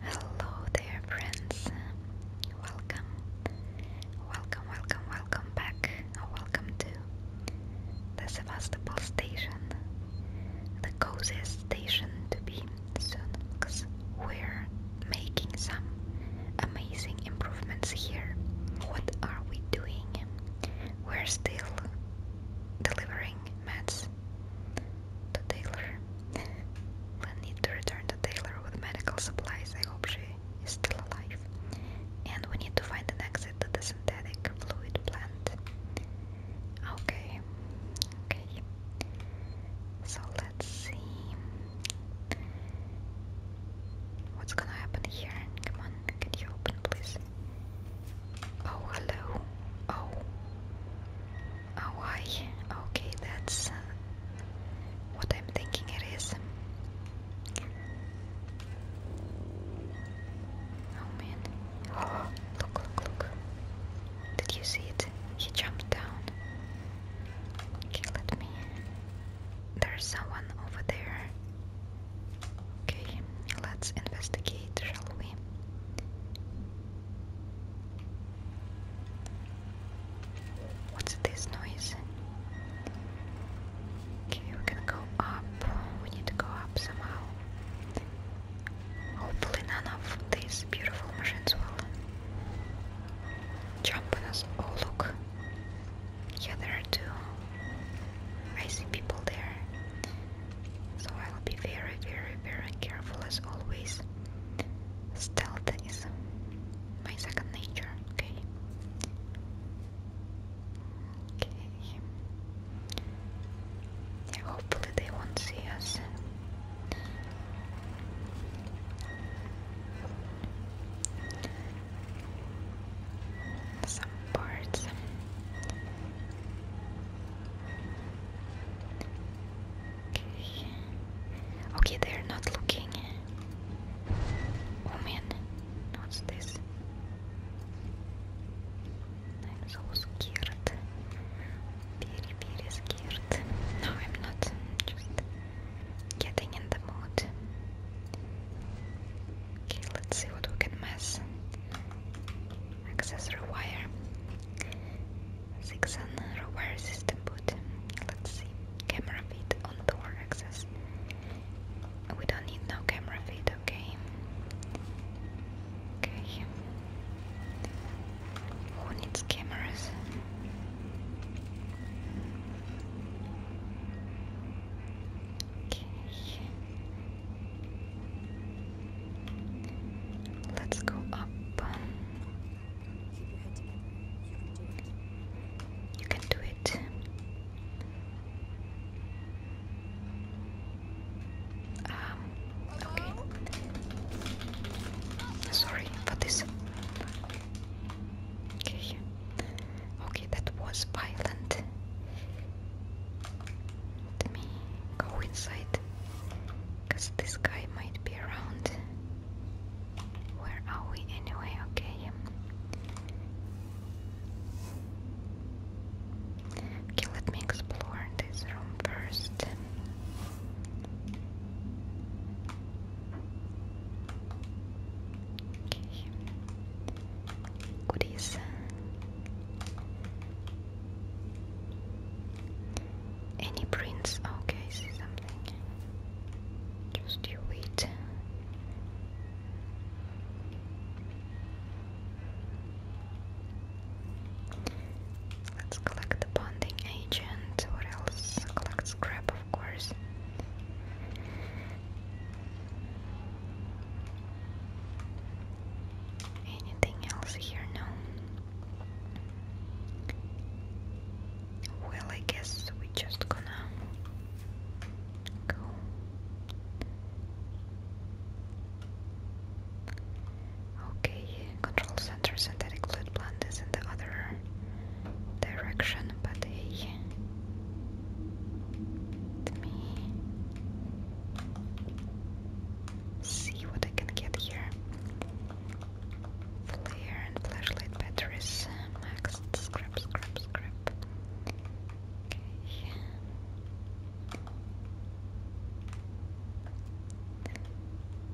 Hello there, friends. Welcome, welcome, welcome, welcome back. Welcome to the Sevastopol station, the coziest station to be soon, because we're making some amazing improvements here. What are we doing? We're still delivering mats the tailor. we need to return the tailor with medical supplies. I hope she is still alive. And we need to find an exit to the synthetic fluid plant. Okay. Okay. So let's see. What's gonna happen here? Come on, get you open please? Oh, hello. Oh. Oh, I. Okay, that's uh, what I'm thinking it is. Oh man. Oh, look, look, look. Did you see it? He jumped down. Okay, let me. There's someone over there. Okay, let's investigate, shall we? What's this noise? Okay, we're go up. We need to go up somehow. Hopefully, none of these beautiful machines will jump on us. Oh, look. Yeah, there are two. I see people there. So I'll be very, very, very careful as always. Stealth is my second nature, okay? Okay. Yeah, hopefully they won't see us. Some Okay. they're not looking. Oh man, what's this? I'm so scared. Very, very scared. No, I'm not. Just getting in the mood. Okay, let see what we can mess access rewire Sixon rewire system boot let's see camera feed on door access we don't need no camera feed okay okay who needs cameras okay Let's go up. You can do it. Um, okay. Sorry for this. Okay. Okay, that was violent. Let me go inside because this guy might be around. Where are we anyway? Okay. Okay, let me explore this room first. Okay. Goodies. Any prints? Okay, see something. Just you wait. Let's collect the bonding agent. What else? Collect scrap, of course. Anything else here? No. Well, I guess we just gonna go. Okay, control center synthetic fluid plant is in the other direction, but hey, let see what I can get here. Flare and flashlight batteries. Max scrap, scrap, scrap. Okay.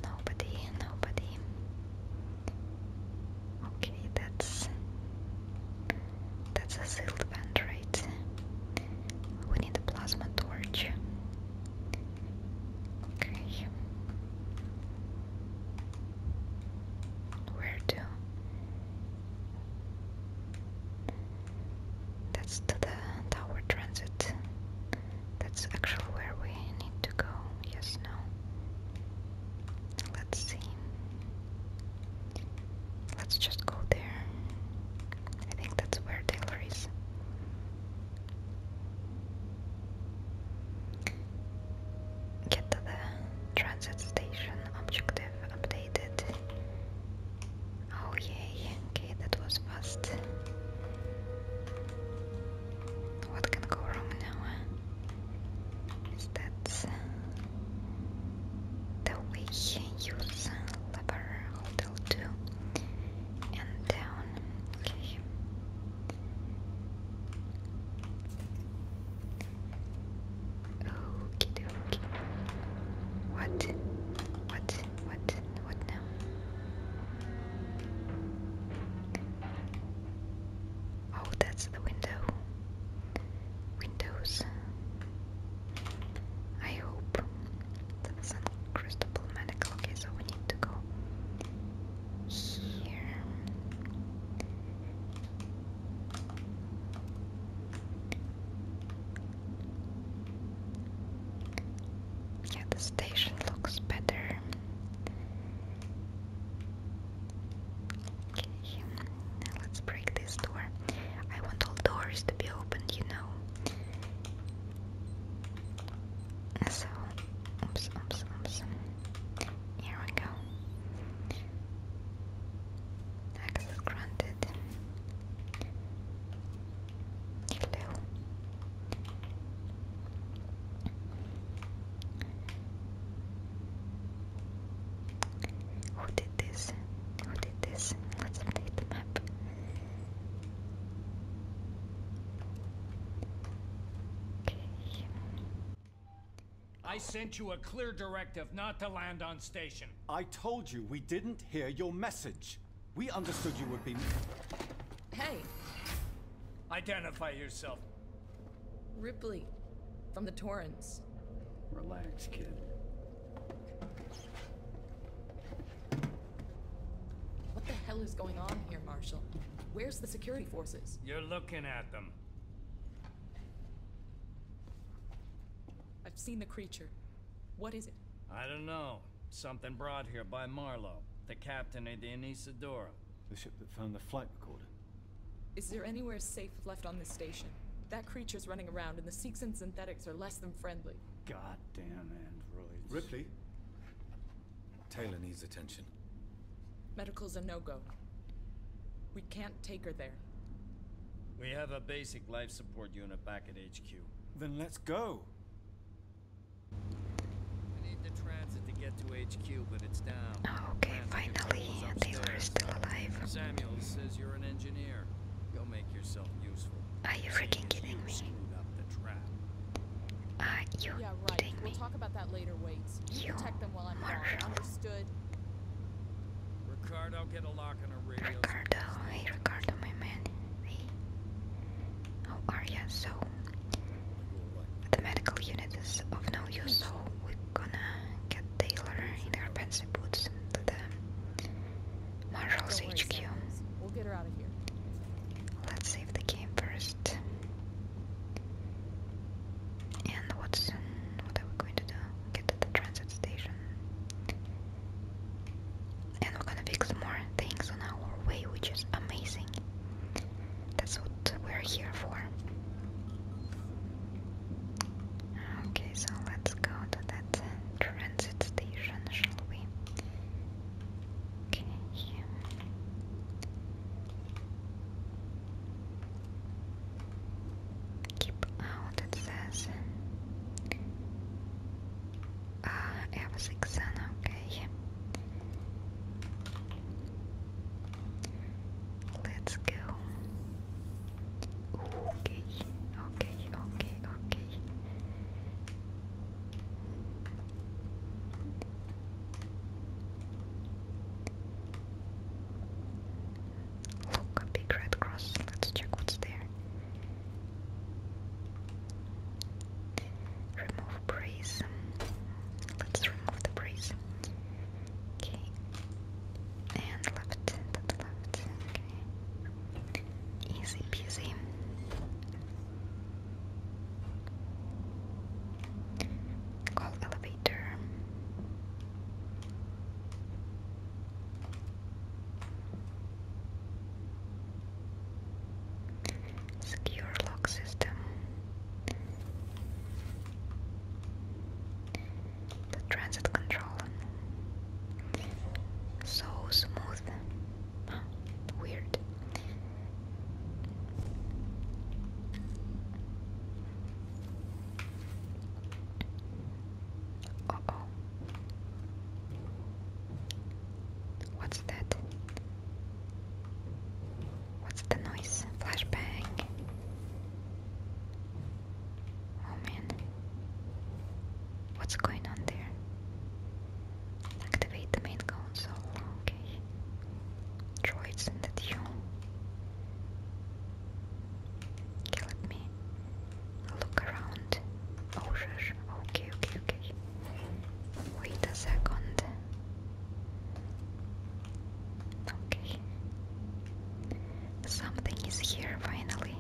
Nobody, nobody. Okay, that's that's a sealed vent, right? We need a plasma torch. Okay. Where to? That's to the tower transit. That's actually where we need to go. Yes, no. Let's see. Let's just go there. I think that's where Taylor is. Get the transit station. Objective updated. Oh, yay. Okay, that was fast. What can go wrong now? Is that the way he lever hotel too and down okay Okie dokie. What? What? What? What now? Oh, that's the window windows. I hope that San Cristobal Medical. Okay, so we need to go here. Yeah, the station looks better. Okay let's break this door. I want all doors to be opened, you know. So, oops, oops, oops. Here we go. Access granted. Hello. Who did this? Who did this? Let's update the map. I sent you a clear directive not to land on station. I told you we didn't hear your message. We understood you would be. Hey. Identify yourself. Ripley, from the Torrens. Relax, kid. What the hell is going on here, Marshall? Where's the security forces? You're looking at them. I've seen the creature. What is it? I don't know. Something brought here by Marlowe, the captain of the Anisadora. The ship that found the flight recorder. Is there anywhere safe left on this station? creature's running around, and the Sikhs and synthetics are less than friendly. Goddamn androids. Ripley? Taylor needs attention. Medical's a no-go. We can't take her there. We have a basic life support unit back at HQ. Then let's go. I need the transit to get to HQ, but it's down. okay, finally. Taylor is still alive. Go make yourself useful. Are you freaking kidding me? Are you yeah, right. kidding we'll me? Talk about that later, Waits. You protect them while I'm gone. Understood. Ricardo, hey Ricardo, my man. Hey. are ya? So the medical unit is of no use, so we're gonna get Taylor in her fancy boots to the Marshall's HQ. We'll get her out of here. Let's save the game first. And what's what are we going to do? Get to the transit station. And we're gonna fix more things on our way, which is amazing. That's what we're here for. Okay, so let's go to that transit station, shall we? Okay. Keep out, it says. Ah, uh, okay. Let's go. Okay, okay, okay, okay. Look, a big red cross. Let's check what's there. Remove brace. Let's remove the brace. Okay. And left, to left. Okay. Easy peasy. Call elevator. Secure lock system the transit control. So smooth. weird. oh. What's that? What's the noise? Flashbang. Oh man. What's going on there? Activate main console. Okay. Droids in the queue. Okay, me look around. Oh Okay, okay, okay. Wait a second. Okay. Something is here finally.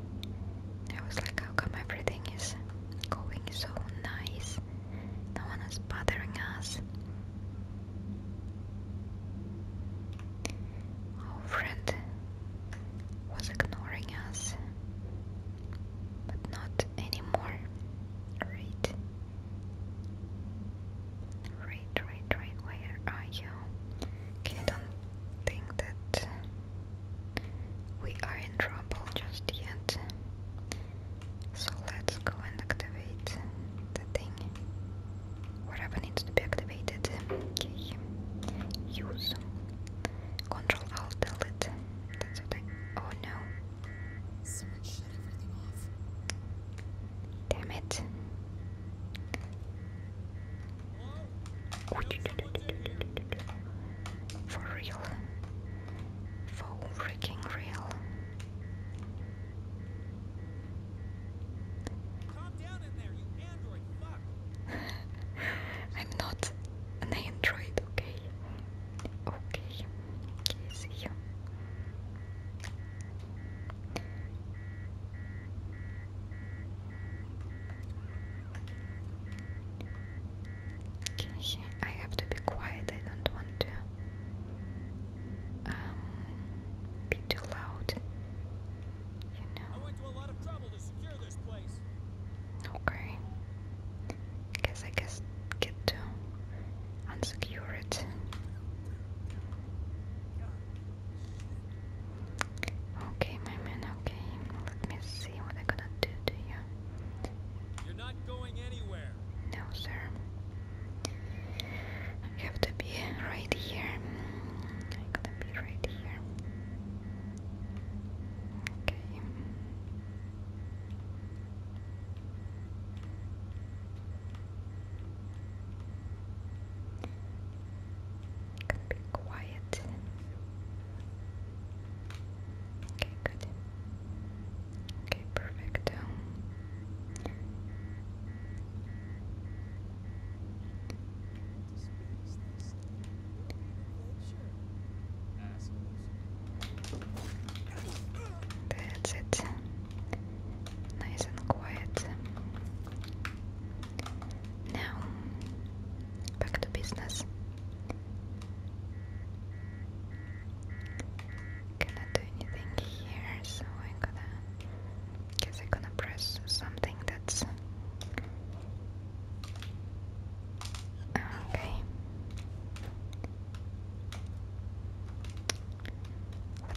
I was like, how come everything is going so nice? No one is bothering us. Our friend was ignoring us, but not anymore. Right? Right, where are you? Okay, don't think that we are in trouble just yet. So let's go and activate the thing. Whatever needs to be activated. Okay. Use. Control Alt delete. That's what oh no. Damn it. For real. For freaking real. I'm not an android, okay? Okay. Okay, see you. Can I have to be quiet. I don't want to um, be too loud. You know. Okay. Guess I guess get to unsecure it. Okay, my man, okay. Let me see what I'm gonna do to you. are not going anywhere. No, sir. You have to be right here. I gotta be right here. Okay. Could be quiet. Okay, good. Okay, perfect. That's it nice and quiet. Now, back to business. Cannot do anything here, so I'm gonna guess I'm gonna press something that's okay.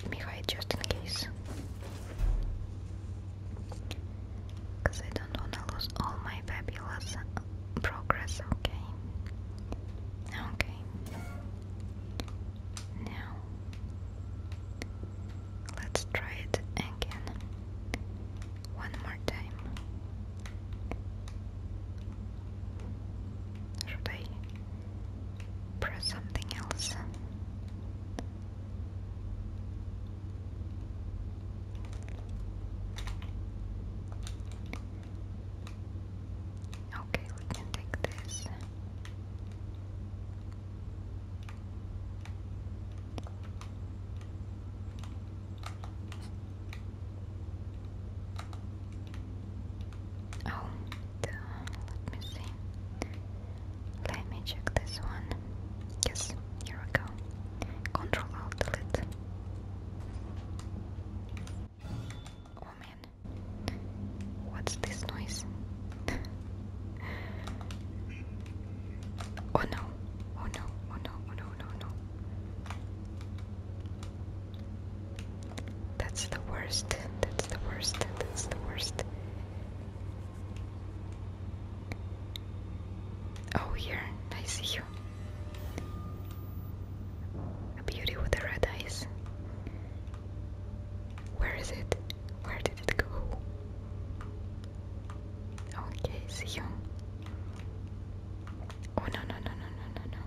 Let me hide just in case. Because I don't want to lose all my fabulous uh, progress, okay? Okay. Now, let's try it again. One more time. Should I press something else. Okay, we can take this. Oh, let me see. Let me check this one. Yes, here we go. Control Alt Delete. Oh man, what's this noise? oh no! Oh no! Oh no! Oh no! Oh, no! No! That's the worst. That's the worst. That's the worst. Oh, here. I see you. A beauty with the red eyes. Where is it? Where did it go? Okay, see you. Oh no no no no no no no.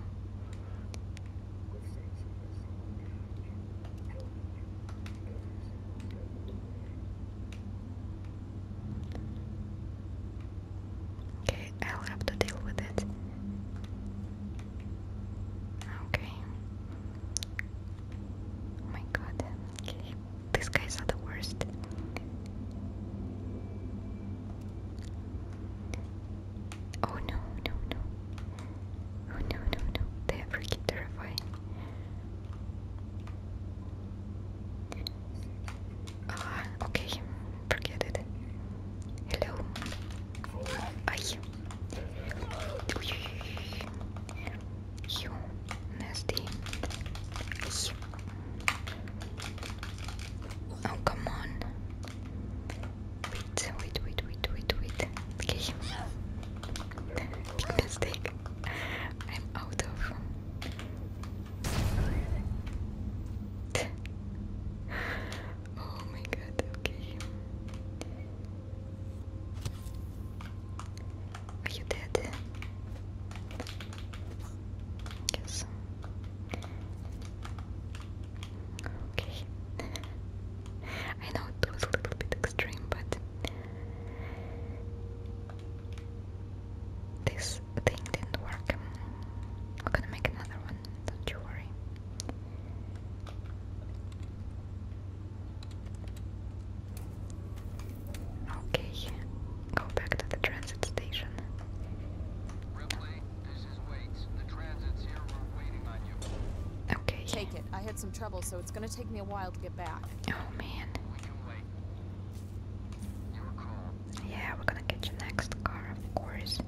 Okay, I'll have to deal with it. Okay. Oh my god. Okay. These guys are the worst. Oh no, no, no. Oh no, no, no. They are freaking terrifying. Ah, okay. Forget it. Hello. Aye. You nasty. Oh, come on. Wait, wait, wait, wait, wait, wait. Okay. Big mistake. I'm out of. oh my god, okay. Are you dead? Yes. Okay. I know it was a little bit extreme, but this thing didn't work. I'm gonna make another one, don't you worry. Okay, go back to the transit station. Okay. Take it. I had some trouble, so it's gonna take me a while to get back. Oh man. Yeah, we're gonna get your next car, of course.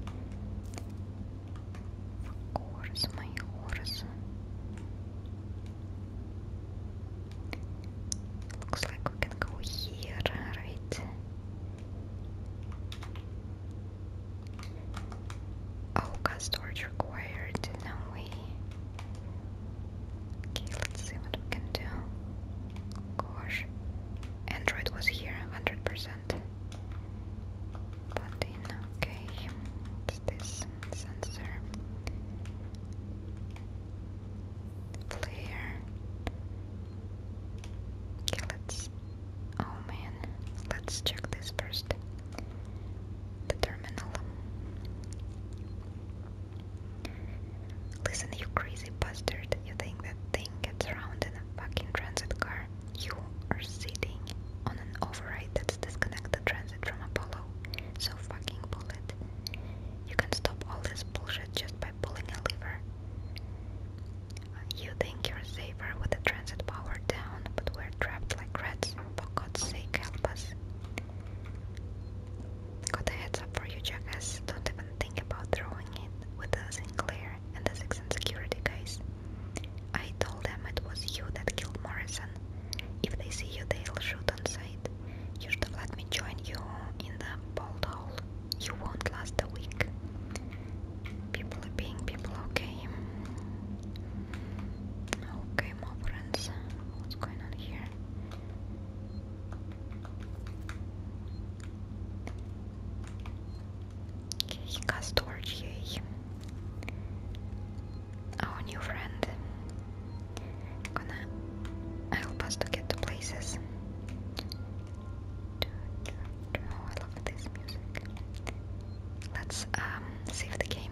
Of course, my horse. Looks like we can go here, right? Oh, storage required, no way. Okay, let's see what we can do. Gosh, Android was here 100%. But in, okay, this sensor? Player. Okay, let's Oh man, let's check this first. The terminal. Listen, you crazy bastard. You think that thing gets around in a fucking transit car? You are sitting on an override that's disconnected transit from Apollo. So fucking pull You can stop all this bullshit just by pulling a lever. You think you're safer with the transit power down, but we're trapped like rats. For God's sake, help us. Got a heads up for you, jackass. Don't even think about throwing it with the Sinclair and the Six and Security guys. I told them it was you that killed Morrison. If they see you, they'll shoot on sight. You should have let me join you in the bolt hole. You won't last a week. People are being people, okay. Okay, my friends. What's going on here? Okay, he yay. Our new friend. Gonna help us to get to places. Oh, I love this music. Let's um, save the game.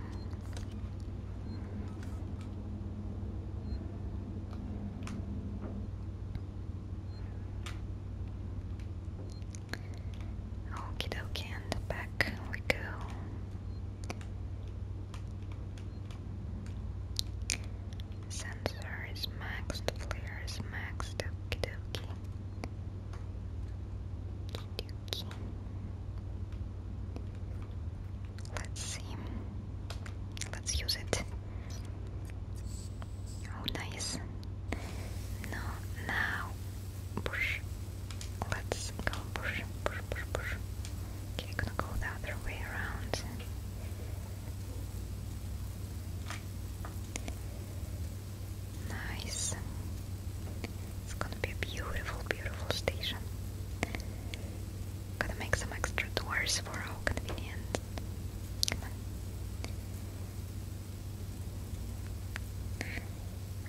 Okie dokie, and back we go. Sensor is maxed, flare is maxed, okie dokie. Let's see. Let's use it. Oh, nice. No, now push. Let's go push, push, push, push. Okay, gonna go the other way around. Nice. It's gonna be a beautiful, beautiful station. Gotta make some extra doors for our convenience. Come on.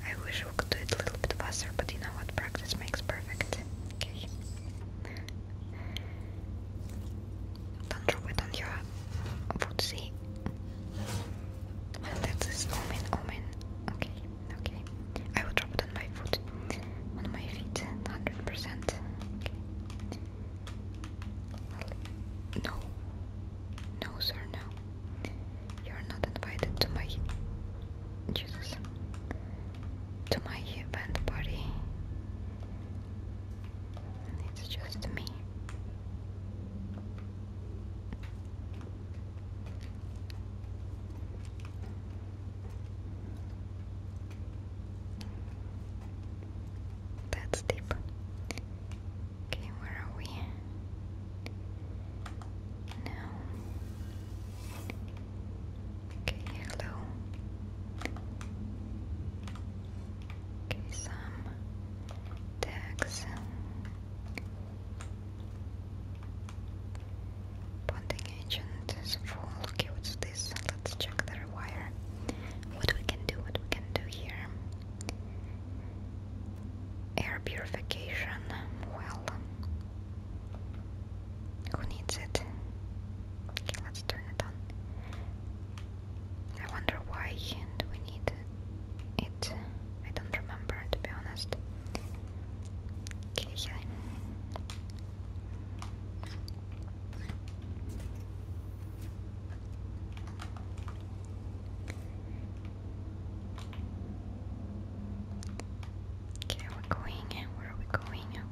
I wish we could do it a little bit faster, but you know what? Practice makes perfect. Okay. Don't drop it on your footsie. And that's this omen, omen. Okay, okay. I will drop it on my foot. On my feet, 100%. No. No, sir, no. You're not invited to my. Jesus. To my event party. It's just me. That's deep. Okay, where are we? Now. Okay, hello. Okay, some tags. Bonding agent is full. Okay, what's this? Let's check the wire. What we can do, what we can do here. Air purification. Well, who needs it? Okay, let's turn it on. I wonder why we need it. I don't remember to be honest. Okay. Okay, we're going. Where are we going? Okay.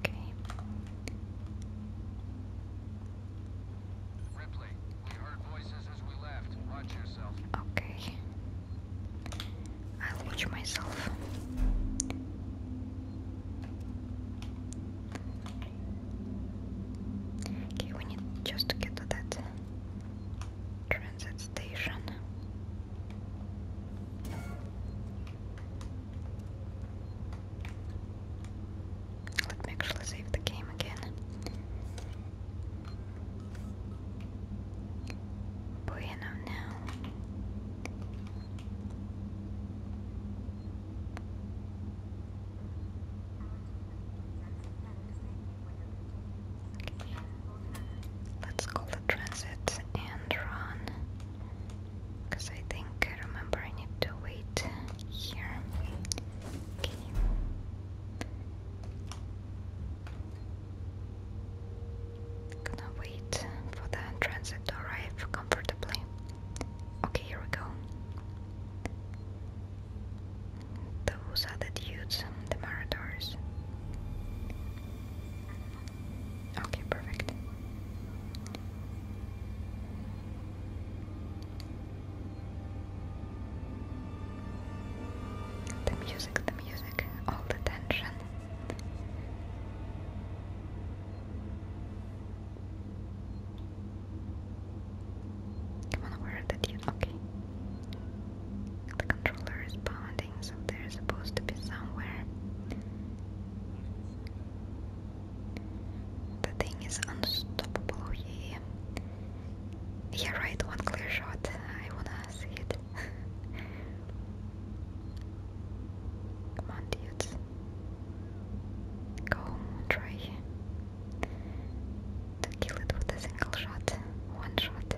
Okay. I'll watch myself. Okay, we need just to get to that transit station. Let me actually save the game again. Bueno now. Let's call the transit and run. Because I think I remember I need to wait here. Okay. Gonna wait for the transit to arrive comfortably. Okay, here we go. Those are the dudes, the Maradors. Okay, perfect. The music, the music, all the tension. Come on, where did you? Okay. The controller is pounding, so they're supposed to be somewhere. The thing is unstoppable here. Yeah, right, one clear shot. I wanna see it. Come on, dudes. Go, try to kill it with a single shot. One shot.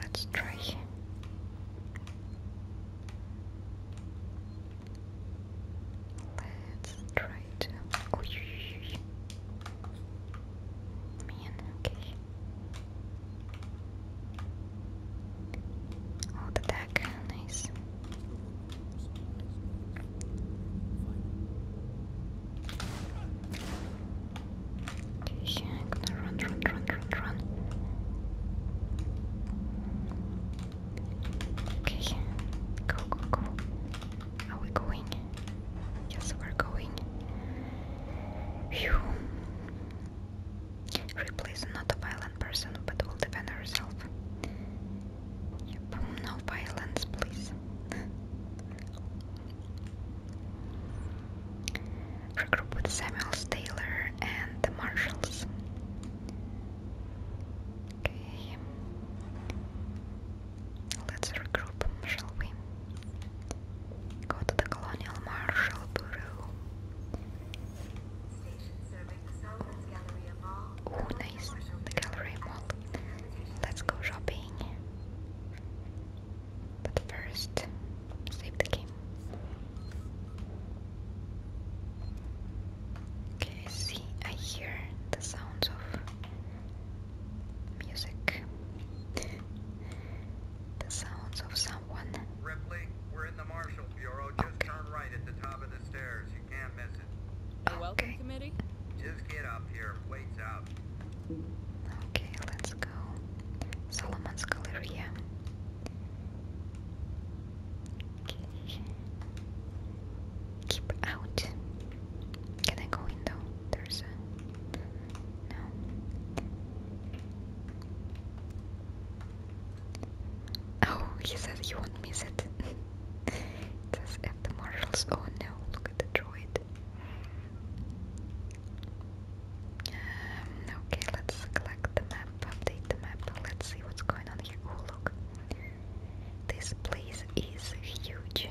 Let's try. Let's try to. okay. Oh, the deck, nice. Okay, run, run, run, run, run. Okay, go, go, go. Are we going? Yes, we're going. Phew. Ripley's not a violent person, but will defend herself. Yep, no violence, please. Regroup with Samuels, Taylor, and the Marshals. Okay. Let's regroup, shall we? Go to the Colonial Marshal Bureau. Oh, nice. The gallery mall. Let's go shopping. But first, save the game. Okay, see, I hear the sounds of music. the sounds of someone. Ripley, we're in the Marshall Bureau. Just turn right at the top of the stairs. You can't miss it. The welcome committee? Just get up here. Wait's out. Okay, let's go. Solomon's Galleria. Keep out. Can I go in though? There's no. Oh, he said he won't miss it. it at the marshals. Oh no, look at the droid. Um, okay, let's collect the map update the map. Let's see what's going on here. Oh, look. This place is huge.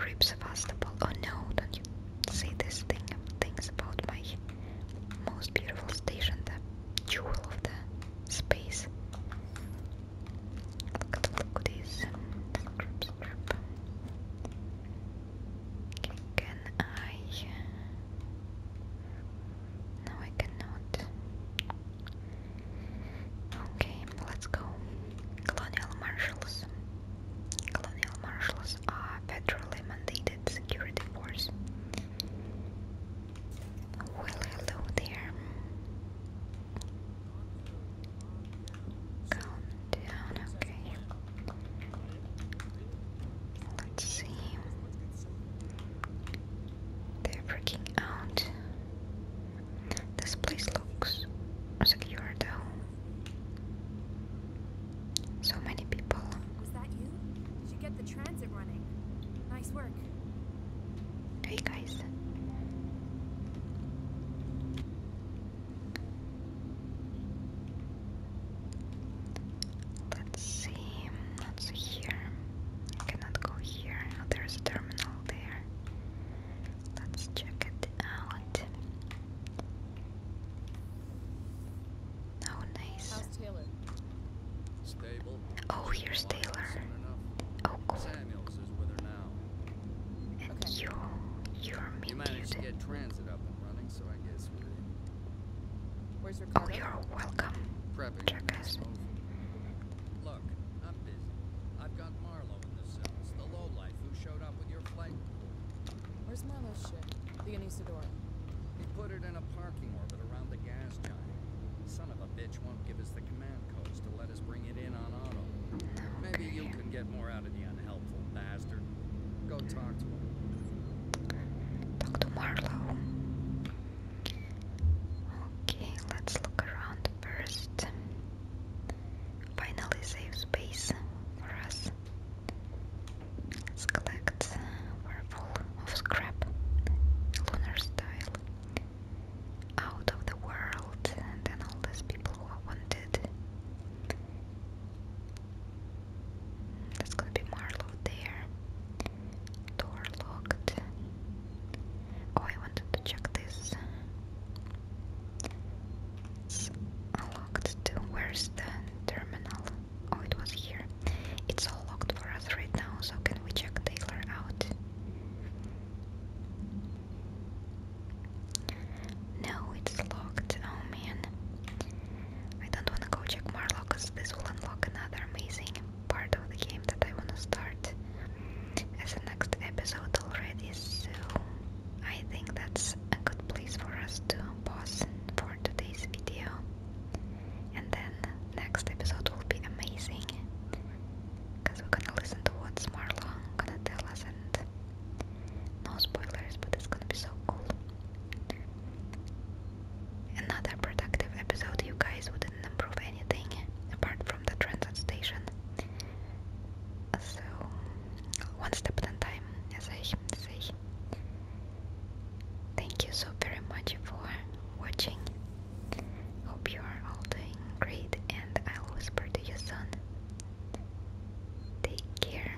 Rip Sevastopol. Oh no, don't you say this thing things about my most beautiful station, the jewel of the space. Look at look at this. Scrap, scrap. can I no, I cannot. Okay, let's go. Colonial marshals. Colonial marshals are federally mandated security force. Well, hello there. Calm down, okay. Let's see. They're freaking out. This place looks secure though. So many people. Did you get the transit running? Nice work. Hey guys. Let's see, let's see here. I cannot go here. Oh, there's a terminal there. Let's check it out. Oh, nice. Oh, here's Taylor. Oh, cool. And you, you're me. You managed to get transit up and running, so I guess we're Where's Ricardo? Oh, you're welcome. Prepping Look, I'm busy. I've got Marlowe in the cells, the lowlife who showed up with your flight. Where's Marlowe's ship? The Anisadora. He put it in a parking orbit around the gas giant. Son of a bitch won't give us the command codes to let us bring it in on auto. Maybe you can get more out of the unhelpful bastard. Go talk to him. Okay, let's look around first. Finally, safe space for us. Let's collect. We're full of scrap, lunar style. Out of the world, and then all these people who wanted. That's gonna be Marlow there. Door locked. Oh, I wanted to check this. It's locked Where's the terminal? Oh, it was here. It's all locked for us right now, so can we check Taylor out? No, it's locked. Oh man. I don't wanna go check Marlow cause this will unlock another amazing part of the game that I wanna start as the next episode already, so I think that's a good place for us to pause for today's video. And then next episode will be amazing because we're gonna listen to what Marlow gonna tell us and no spoilers, but it's gonna be so cool. Another productive episode, you guys wouldn't improve anything apart from the transit station. So, one step at a time, as I say. Thank you so very much for watching. Hope you are all doing great, and I'll whisper to you soon. Take care.